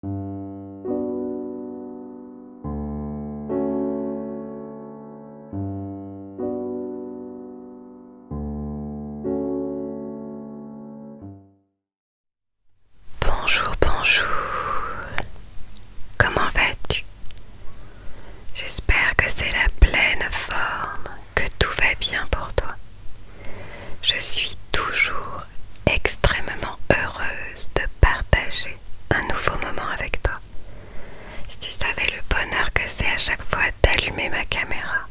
Bonjour, bonjour. Comment vas-tu J'espère que c'est la pleine forme, que tout va bien pour toi. Je suis toujours extrêmement heureuse de partager un nouveau moment avec toi. Si tu savais le bonheur que c'est à chaque fois d'allumer ma caméra,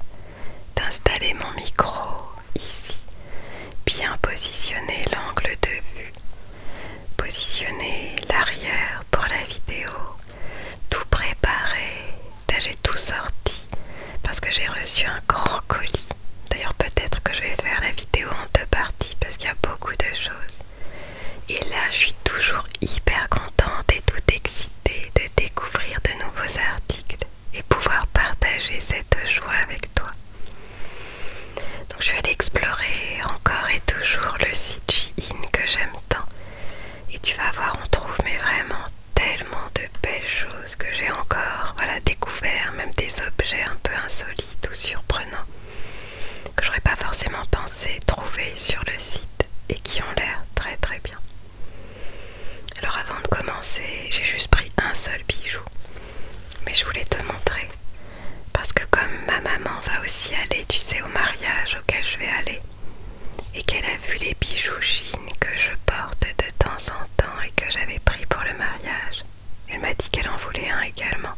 d'installer mon micro ici, bien positionner l'angle de vue, positionner l'arrière pour la vidéo, tout préparer, là j'ai tout sorti parce que j'ai reçu un grand colis D'ailleurs peut-être que je vais faire la vidéo en deux parties parce qu'il y a beaucoup de choses. Et là je suis toujours hyper contente et toute excitée de découvrir de nouveaux articles et pouvoir partager cette joie avec toi. Donc je vais aller explorer encore et toujours le site Shein que j'aime tant. Et tu vas voir on trouve mais vraiment tellement de belles choses que j'ai encore voilà, découvert, même des objets un peu insolites tout surprenant que j'aurais pas forcément pensé trouver sur le site et qui ont l'air très très bien. Alors avant de commencer, j'ai juste pris un seul bijou, mais je voulais te montrer parce que comme ma maman va aussi aller, tu sais, au mariage auquel je vais aller et qu'elle a vu les bijoux jeans que je porte de temps en temps et que j'avais pris pour le mariage, elle m'a dit qu'elle en voulait un également.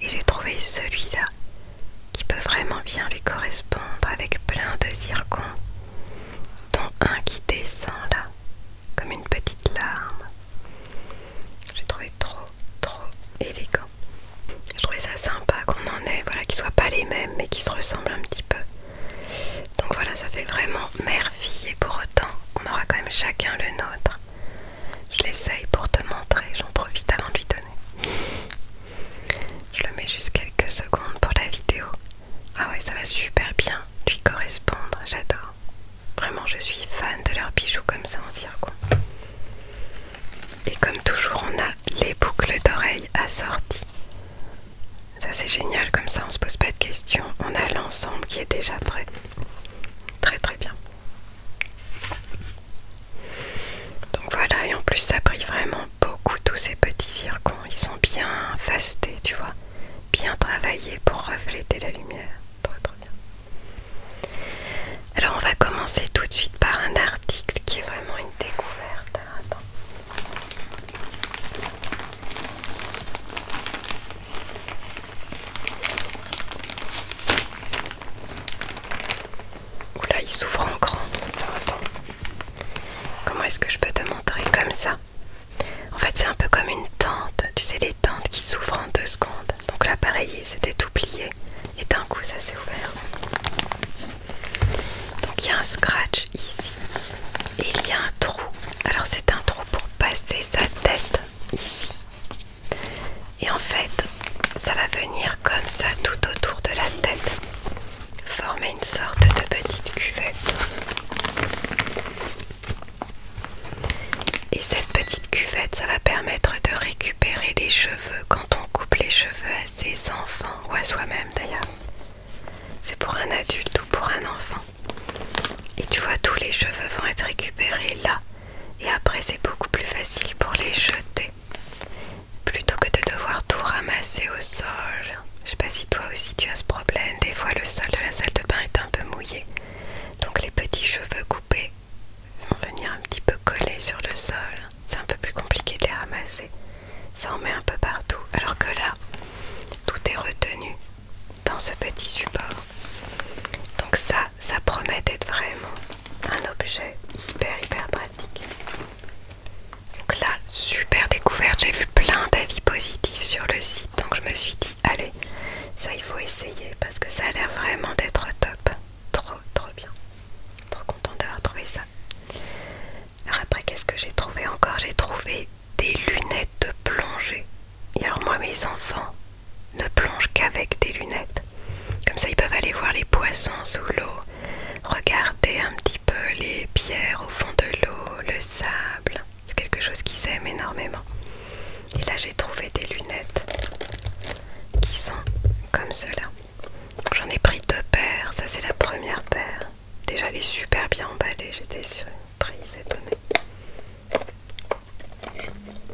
Et j'ai trouvé celui-là qui peut vraiment bien lui correspondre avec plein de zircons, dont un qui descend là, comme une petite larme. J'ai trouvé trop, trop élégant. Je trouvais ça sympa qu'on en ait, voilà, qu'ils soient pas les mêmes, mais qui se ressemblent un petit peu. Donc voilà, ça fait vraiment merde et pour autant, on aura quand même chacun le nôtre. Je l'essaye pour te montrer, j'en profite avant de lui donner. Je le mets juste quelques secondes pour la vidéo. Ah ouais, ça va super bien lui correspondre, j'adore. Vraiment, je suis fan de leurs bijoux comme ça en quoi. Et comme toujours, on a les boucles d'oreilles assorties. Ça c'est génial, comme ça on se pose pas de questions, on a l'ensemble qui est déjà prêt. Très très bien. Donc voilà, et en plus ça brille vraiment beaucoup tous ces petits circons. Ils sont bien fastés, tu vois, bien travaillés pour refléter la lumière. Très trop bien. Alors on va commencer tout de suite par un article qui est vraiment une découverte. Attends. Oula, il s'ouvre en grand. Comment est-ce que je peux te montrer comme ça En fait, c'est un peu comme une tente. Tu sais, les tentes qui s'ouvrent en deux secondes. Donc là, pareil, c'était oublié. Et d'un coup, ça s'est ouvert. Donc il y a un scratch ici. Et il y a un trou. Alors c'est un trou pour passer sa tête ici. Et en fait, ça va venir comme ça tout autour de la tête, former une sorte de petite cuvette. Et cette petite cuvette, ça va permettre de récupérer les cheveux quand on coupe les cheveux à ses enfants ou à soi-même d'ailleurs. C'est pour un adulte ou pour un enfant, et tu vois, tous les cheveux vont être récupérés là. Et après, c'est beaucoup plus facile pour les jeter. Plutôt que de devoir tout ramasser au sol. Je sais pas si toi aussi tu as ce problème. Des fois, le sol de la salle de bain est un peu mouillé. Donc les petits cheveux coupés vont venir un petit peu coller sur le sol. C'est un peu plus compliqué de les ramasser. Ça en met un peu partout. Alors que là, tout est retenu dans ce petit support. Donc ça, ça promet d'être vraiment un objet hyper hyper pratique. Donc là, super découverte, j'ai vu plein d'avis positifs sur le site, donc je me suis dit, allez, ça il faut essayer parce que ça a l'air vraiment d'être top. Trop trop bien. Trop contente d'avoir trouvé ça. Alors après, qu'est-ce que j'ai trouvé encore J'ai trouvé des lunettes de plongée. Et alors moi mes enfants ne plongent qu'avec des lunettes. Comme ça ils peuvent aller voir les poissons sous l'eau, regarder un petit peu les pierres au fond de l'eau, le sable. C'est quelque chose qui s'aime énormément. Et là j'ai trouvé des lunettes qui sont comme cela. J'en ai pris deux paires, ça c'est la première paire. Déjà elle est super bien emballée, j'étais surprise, étonnée.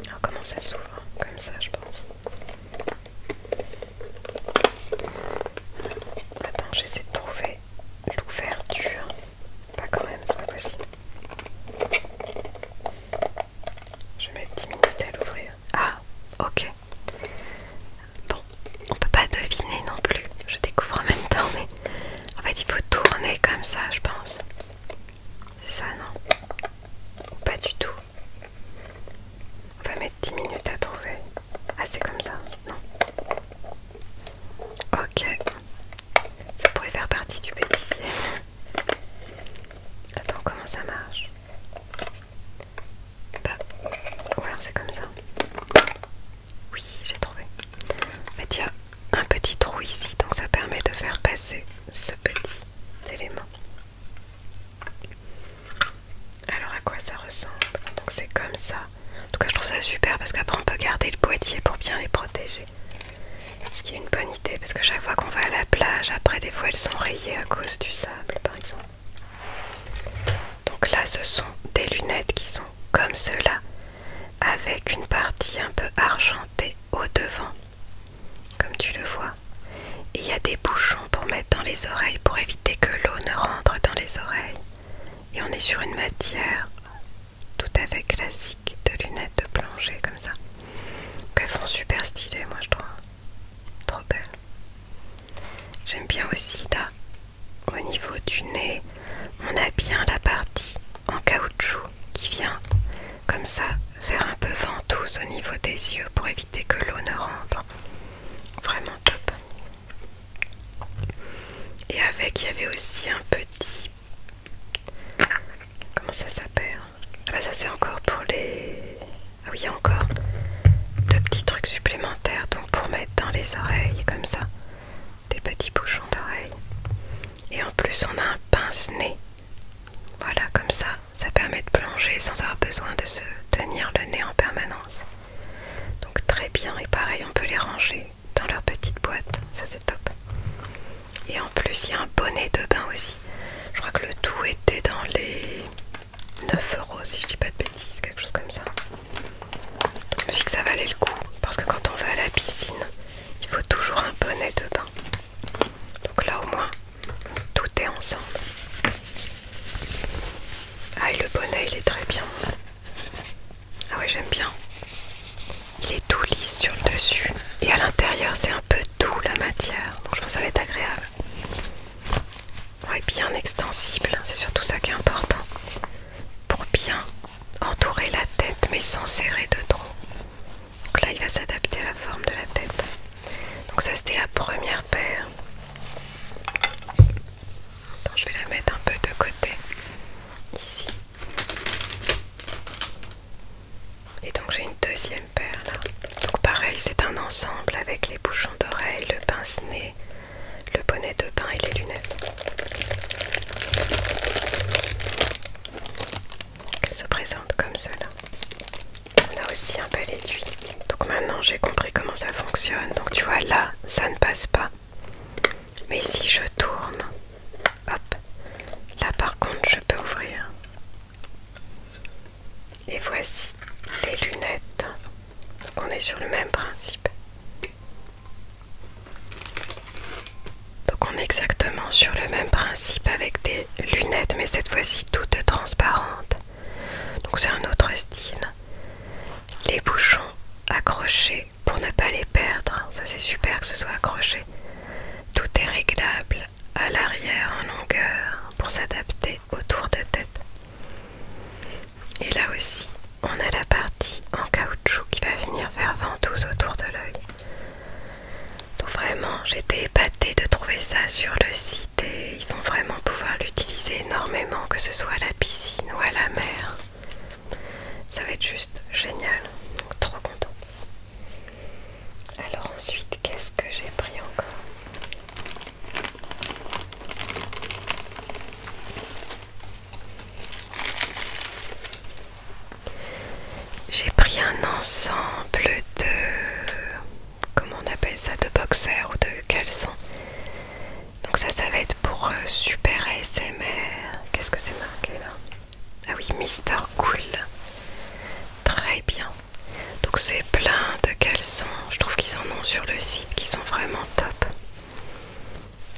Alors comment ça s'ouvre hein, Comme ça je pense. Attends, j'essaie de trouver l'ouverture. Pas quand même, c'est pas possible. Je vais mettre 10 minutes à l'ouvrir. Ah, ok. Bon, on peut pas deviner non plus. Je découvre en même temps, mais en fait il faut tourner comme ça, je pense. C'est ça, non Pas du tout. On va mettre 10 minutes à trouver. Ah, c'est comme ça Non. Ok. Ça pourrait faire partie du pâtissier. Attends, comment ça marche Bah, ou alors c'est comme ça. Oui, j'ai trouvé. bah un petit trou ici, donc ça permet de faire passer ce petit élément. Alors à quoi ça ressemble Donc c'est comme ça. En tout cas je trouve ça super parce qu'après on peut garder le boîtier pour bien les protéger. Ce qui est une bonne idée parce que chaque fois qu'on va à la plage, après des fois elles sont rayées à cause du sable par exemple. Donc là ce sont des lunettes qui sont comme cela avec une partie un peu argent au devant, comme tu le vois. il y a des bouchons pour mettre dans les oreilles pour éviter que l'eau ne rentre dans les oreilles. Et on est sur une matière tout à fait classique de lunettes de plongée comme ça. Qu'elles font super stylé, moi je trouve. Trop belle. J'aime bien aussi là, au niveau du nez, on a bien la partie en caoutchouc qui vient comme ça faire un peu ventouse au niveau des yeux pour éviter que l'eau ne rentre. Vraiment top. Et avec, il y avait aussi un petit... Comment ça s'appelle ah bah ça c'est encore pour les... Ah oui, encore deux petits trucs supplémentaires donc pour mettre dans les oreilles comme ça des petits bouchons d'oreilles. Et en plus, on a un pince-nez. Voilà, comme ça, ça permet de plonger sans avoir besoin de se tenir le nez en permanence. Donc très bien, et pareil, on peut les ranger dans leur petite boîte, ça c'est top. Et en plus, il y a un bonnet de bain aussi. Je crois que le tout était dans les 9 euros, si je dis pas de bêtises, quelque chose comme ça. je me suis dit que ça valait le coup, parce que quand on va à la piscine, il faut toujours un bonnet de bain. Donc là au moins, tout est ensemble. Ah le bonnet il est très bien. Ah ouais j'aime bien. Il est tout lisse sur le dessus. Et à l'intérieur c'est un peu doux la matière. Donc je pense que ça va être agréable. Ouais bien extensible. C'est surtout ça qui est important. Pour bien entourer la tête mais sans serrer de trop. Donc là il va s'adapter à la forme de la tête. Donc ça c'était la première paire. je vais la mettre un peu de côté ici. Et donc j'ai une deuxième paire là. Donc pareil, c'est un ensemble avec les bouchons d'oreilles, le pince-nez, le bonnet de bain et les lunettes qu'elle se présente comme cela. On a aussi un bel étui Donc maintenant j'ai compris comment ça fonctionne. Donc tu vois là, ça ne passe pas. Mais si je tourne, hop, là par contre je peux ouvrir. Et voici les lunettes. Donc on est sur le même principe. Donc on est exactement sur le même principe avec des lunettes mais cette fois-ci toutes transparentes. Donc c'est un autre style. Les bouchons accrochés pour ne pas les perdre. Ça c'est super que ce soit accroché. Tout est réglable à l'arrière en longueur pour s'adapter autour de tête. Et là aussi, on a la partie en caoutchouc qui va venir faire ventouse autour de l'œil. Donc vraiment j'étais épatée de trouver ça sur le site ils vont vraiment pouvoir l'utiliser énormément que ce soit à la piscine ou à la mer. Ça va être juste génial. trop contente. Alors ensuite qu'est-ce que j'ai pris encore j'ai pris un ensemble de... Comment on appelle ça De boxers ou de caleçons. Donc ça, ça va être pour euh, Super SMR. Qu'est-ce que c'est marqué là Ah oui, Mister Cool. Très bien. Donc c'est plein de caleçons. Je trouve qu'ils en ont sur le site qui sont vraiment top.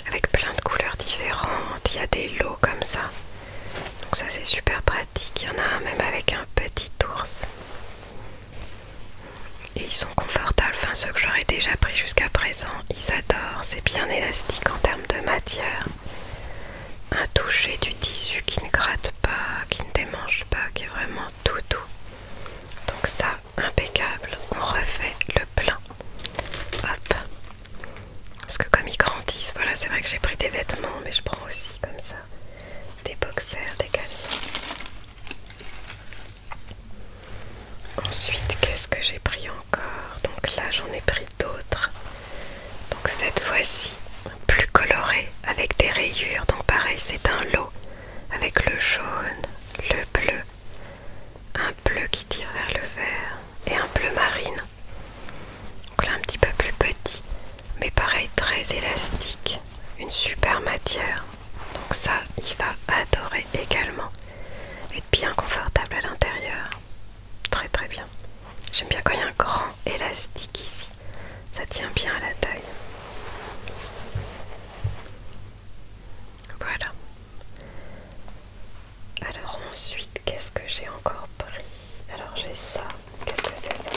Avec plein de couleurs différentes. Il y a des lots comme ça. Donc ça c'est super pratique. Il y en a un même avec un petit ours. Et ils sont confortables, enfin ceux que j'aurais déjà pris jusqu'à présent, ils adorent, c'est bien élastique en termes de matière. Un toucher du tissu qui ne gratte pas, qui ne démange pas, qui est vraiment tout doux. Donc ça, impeccable, on refait le plein. Hop, parce que comme ils grandissent, voilà, c'est vrai que j'ai pris des vêtements, mais je prends aussi comme ça des boxers, des caleçons. Ensuite, qu'est-ce que j'ai pris encore Donc là, j'en ai pris d'autres. Donc cette fois-ci, plus coloré, avec des rayures. Donc pareil, c'est un lot avec le jaune, le bleu, un bleu qui tire vers le vert et un bleu marine. Donc là un petit peu plus petit, mais pareil très élastique, une super matière. Donc ça, il va adorer également. être bien confortable à l'intérieur. Très très bien. J'aime bien quand il y a un grand élastique ici. Ça tient bien à la taille. Voilà. Alors ensuite, qu'est-ce que j'ai encore pris Alors j'ai ça. Qu'est-ce que c'est ça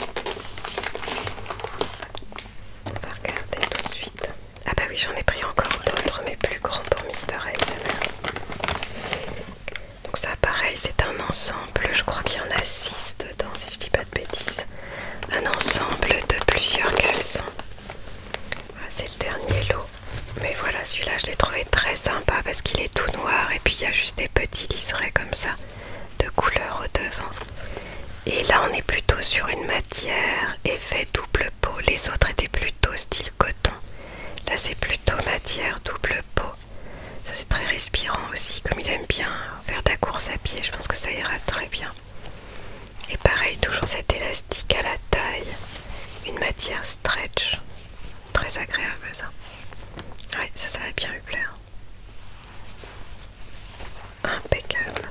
On va regarder tout de suite. Ah bah oui, j'en ai pris encore d'autres, mais plus grands pour Mister Donc ça, pareil, c'est un ensemble. Je crois qu'il y en a 6 dedans, si je dis pas de bêtises. Un ensemble de plusieurs caleçons. c'est le dernier lot. Mais voilà, celui-là, je l'ai trouvé très sympa parce qu'il est tout noir et puis il y a juste des petits liserés comme ça de couleur au devant. Et là, on est plutôt sur une matière effet double peau. Les autres étaient plutôt style coton. Là, c'est plutôt matière double peau. Ça, c'est très respirant aussi. Comme il aime bien faire de la course à pied, je pense que ça ira très bien. Et pareil, toujours cet élastique à la taille. Une matière stretch. Très agréable ça. Ouais, ça, ça va bien lui plaire. Impeccable.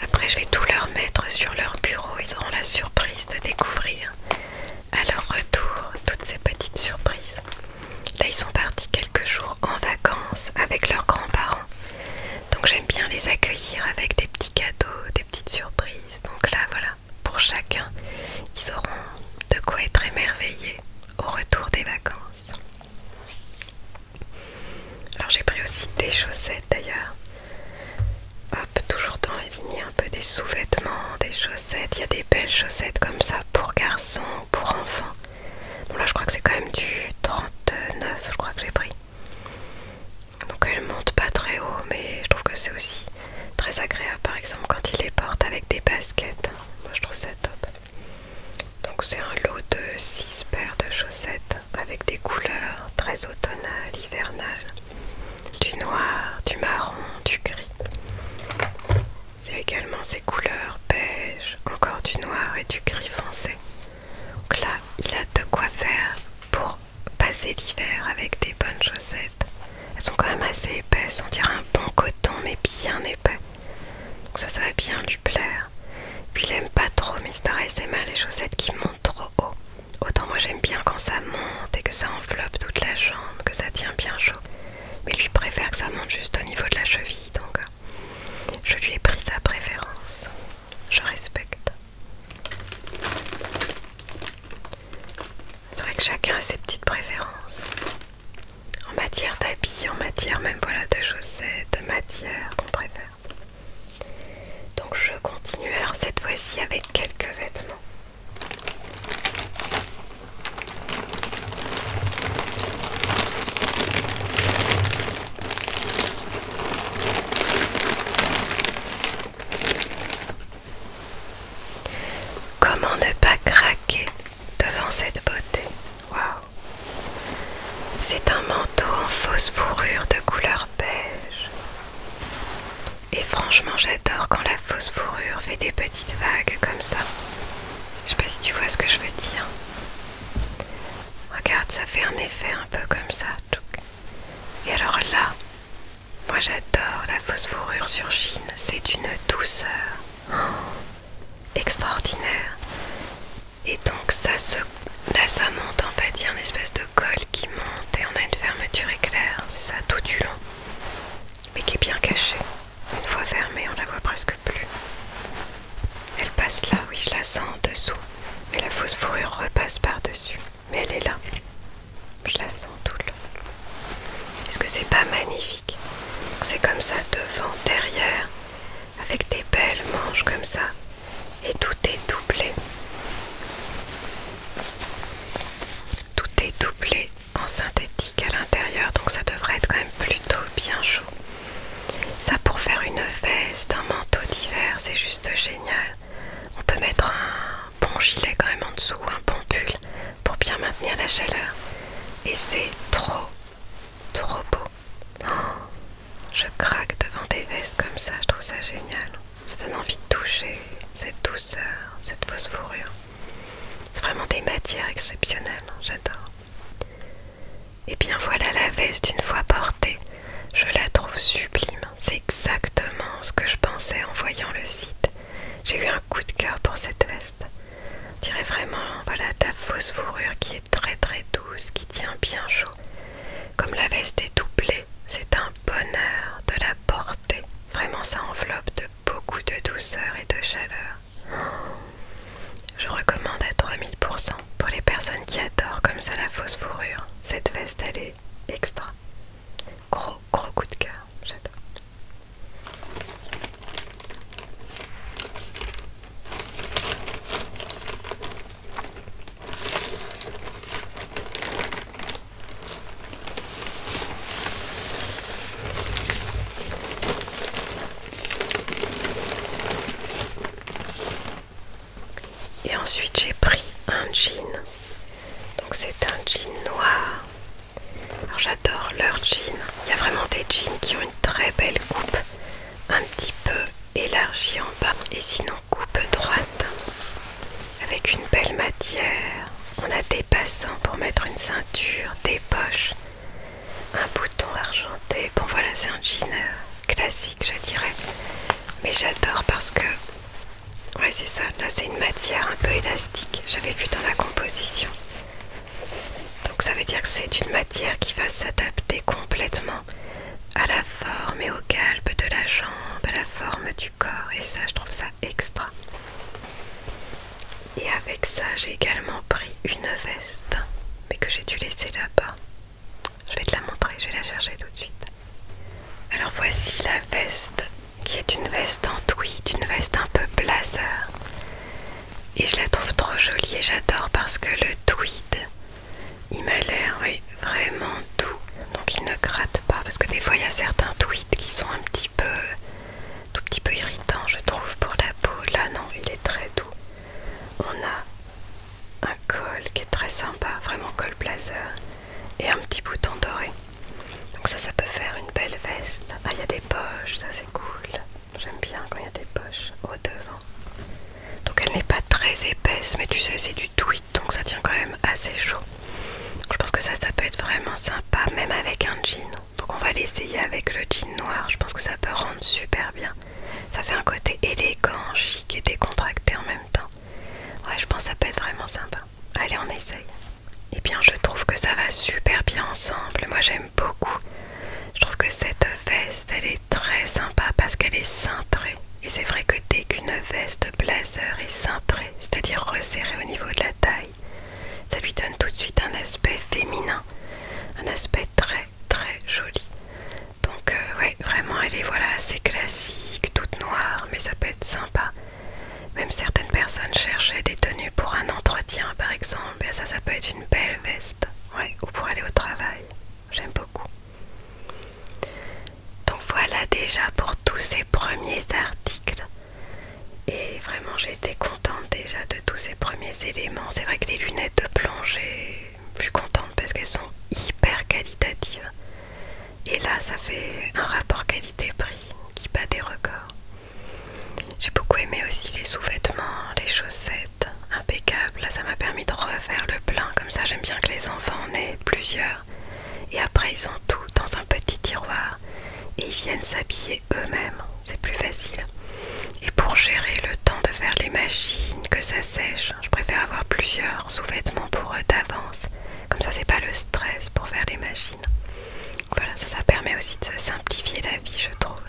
Après, je vais tout leur mettre sur leur bureau. Ils auront la surprise de découvrir à leur retour toutes ces petites surprises. Là, ils sont partis quelques jours en vacances avec leurs grands-parents. Donc, j'aime bien les accueillir avec des petits cadeaux, des petites surprises. Donc là, voilà, pour chacun. Ils auront de quoi être émerveillés au retour des vacances. Alors j'ai pris aussi des chaussettes d'ailleurs. Hop, toujours dans les lignes, un peu des sous-vêtements, des chaussettes. Il y a des belles chaussettes comme ça pour garçons, pour enfants. Bon là je crois que c'est quand même du 39, je crois que j'ai pris donc elles monte pas très haut mais je trouve que c'est aussi très agréable par exemple quand il les porte avec des baskets moi je trouve ça top donc c'est un lot de 6 paires de chaussettes avec des couleurs très automnales, hivernales du noir, du marron, du gris il y a également ces couleurs beige, encore du noir et du gris foncé donc là il a de quoi faire pour passer l'hiver avec des bonnes chaussettes. Elles sont quand même assez épaisses, on dirait un bon coton mais bien épais. Donc ça, ça va bien lui plaire. Puis il aime pas trop Mister SMA les chaussettes qui montent trop haut. Autant moi j'aime bien quand ça monte et que ça enveloppe toute la jambe, que ça tient bien chaud. Mais lui préfère que ça monte juste au niveau de la cheville, donc euh, je lui ai pris sa préférence. Je respecte. C'est vrai que chacun a ses petites préférences. En matière d'habits, en matière même voilà de chaussettes, de matière qu'on préfère. Donc je continue alors cette fois-ci avec quelques vêtements. Comment ne pas craquer devant cette beauté Waouh C'est un manteau en fausse fourrure de couleur beige. Et franchement, j'adore quand la fausse fourrure fait des petites vagues comme ça. Je sais pas si tu vois ce que je veux dire. Regarde, ça fait un effet un peu comme ça. Et alors là, moi j'adore la fausse fourrure sur Chine, c'est d'une douceur extraordinaire. Et donc ça se... Là ça monte en fait, il y a une espèce de colle qui monte et on a une fermeture éclair, c'est ça tout du long. Mais qui est bien cachée. Une fois fermée, on la voit presque plus. Elle passe là, oui je la sens en dessous. Mais la fausse fourrure repasse par-dessus mais elle est là. Je la sens tout le long. Est-ce que c'est pas magnifique C'est comme ça, devant, derrière, avec des belles manches comme ça, et tout est doublé. Tout est doublé en synthétique à l'intérieur, donc ça devrait être quand même plutôt bien chaud. Ça pour faire une veste, un manteau d'hiver, c'est juste génial. On peut mettre un bon gilet quand même en dessous, un bon pull pour bien maintenir la chaleur. Et c'est trop, trop beau. Oh, je craque devant des vestes comme ça, je trouve ça génial. Ça donne envie de toucher cette douceur, cette fausse fourrure. C'est vraiment des matières exceptionnelles, j'adore. Et bien voilà la veste une fois portée. Je la trouve sublime. C'est exactement ce que je pensais en voyant le site. J'ai eu un coup de cœur pour cette veste. On vraiment, voilà, ta fausse fourrure qui est très très douce, qui tient bien chaud. Comme la veste est doublée, c'est un bonheur de la porter. Vraiment, ça enveloppe de beaucoup de douceur et de chaleur. Je recommande à 3000% pour les personnes qui adorent comme ça la fausse fourrure. Cette veste, elle est extra. Gros, gros coup de cœur, j'adore. Et ensuite j'ai pris un jean donc c'est un jean noir. Alors j'adore leur jean. Il y a vraiment des jeans qui ont une très belle coupe, un petit peu élargie en bas. Et sinon coupe droite, avec une belle matière. On a des passants pour mettre une ceinture, des poches, un bouton argenté. Bon voilà, c'est un jean euh, classique je dirais. Mais j'adore parce que Ouais c'est ça, là c'est une matière un peu élastique, j'avais vu dans la composition. Donc ça veut dire que c'est une matière qui va s'adapter complètement à la forme et au calpe de la jambe, à la forme du corps et ça je trouve ça extra. Et avec ça j'ai également pris une veste, mais que j'ai dû laisser là-bas. Je vais te la montrer, je vais la chercher tout de suite. Alors voici la veste qui est une veste en tweed, une veste un peu blazer. Et je la trouve trop jolie et j'adore parce que le tweed, il m'a l'air vraiment doux. Donc il ne gratte pas parce que des fois il y a certains tweeds qui sont un petit peu, tout petit peu irritants je trouve pour la peau. Là non, il est très doux. On a un col qui est très sympa, vraiment col blazer et un petit bouton doré. Donc ça, ça peut faire une belle veste. Ah, il y a des poches, ça c'est cool. J'aime bien quand il y a des poches au devant. Donc elle n'est pas très épaisse, mais tu sais, c'est du tweed, donc ça tient quand même assez chaud. je pense que ça, ça peut être vraiment sympa, même avec un jean. Donc on va l'essayer avec le jean noir, je pense que ça peut rendre super bien. Ça fait un côté élégant, chic et décontracté en même temps. Ouais, je pense que ça peut être vraiment sympa. Allez, on essaye. Eh bien, je trouve que ça va super bien ensemble. Moi, j'aime beaucoup. Je trouve que cette veste, elle est très sympa parce qu'elle est cintrée. Et c'est vrai que dès qu'une veste blazer est cintrée, c'est-à-dire resserrée au niveau de la taille, ça lui donne tout de suite un aspect féminin, un aspect très très joli. Donc euh, ouais, vraiment elle est voilà assez classique, toute noire, mais ça peut être sympa. Même certaines personnes cherchaient des tenues pour un entretien, par exemple. ça, ça peut être une belle veste. ou pour aller au travail. J'aime beaucoup. Donc voilà déjà pour tous ces premiers articles. Et vraiment, j'ai été contente déjà de tous ces premiers éléments. C'est vrai que les lunettes de plongée, je suis contente parce qu'elles sont hyper qualitatives. Et là, ça fait un rapport qualité-prix qui bat des records. J'ai beaucoup aimé aussi les sous-vêtements, les chaussettes, impeccable. Là, ça m'a permis de refaire le plein. Comme ça, j'aime bien que les enfants en aient plusieurs. Et après, ils ont tout dans un petit tiroir. Et ils viennent s'habiller eux-mêmes. C'est plus facile. Et pour gérer le temps de faire les machines, que ça sèche, je préfère avoir plusieurs sous-vêtements pour eux d'avance. Comme ça, c'est pas le stress pour faire les machines. Voilà, ça, permet aussi de se simplifier la vie, je trouve.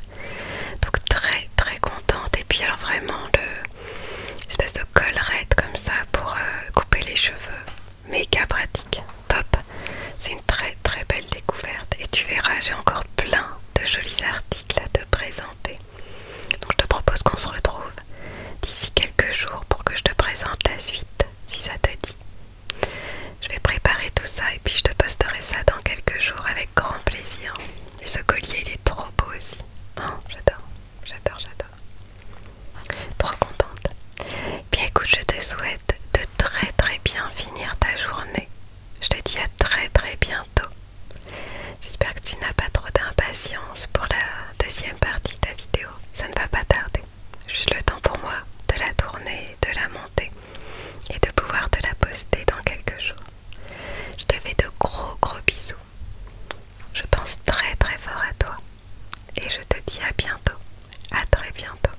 Donc très très contente. Et puis alors vraiment de espèce de collerette comme ça pour euh, couper les cheveux. Méga pratique, top. C'est une très très belle découverte. Et tu verras, j'ai encore plein de jolis articles à te présenter. Donc je te propose qu'on se retrouve d'ici quelques jours pour que je te présente la suite si ça te dit. Je vais préparer tout ça et puis je te posterai ça dans quelques jours avec grand plaisir. Et ce collier, il est trop beau aussi. Oh, j'adore, j'adore, j'adore. Trop contente. Bien écoute, je te souhaite de très très bien finir ta journée. Je te dis à très très bientôt. J'espère que tu n'as pas trop d'impatience pour la deuxième partie de ta vidéo. Ça ne va pas tarder. Juste le temps pour moi de la tourner, de la monter et de pouvoir te la poster dans quelques jours. Je te fais de gros gros bisous. Je pense très très fort à toi. Et je te dis à bientôt. À très bientôt.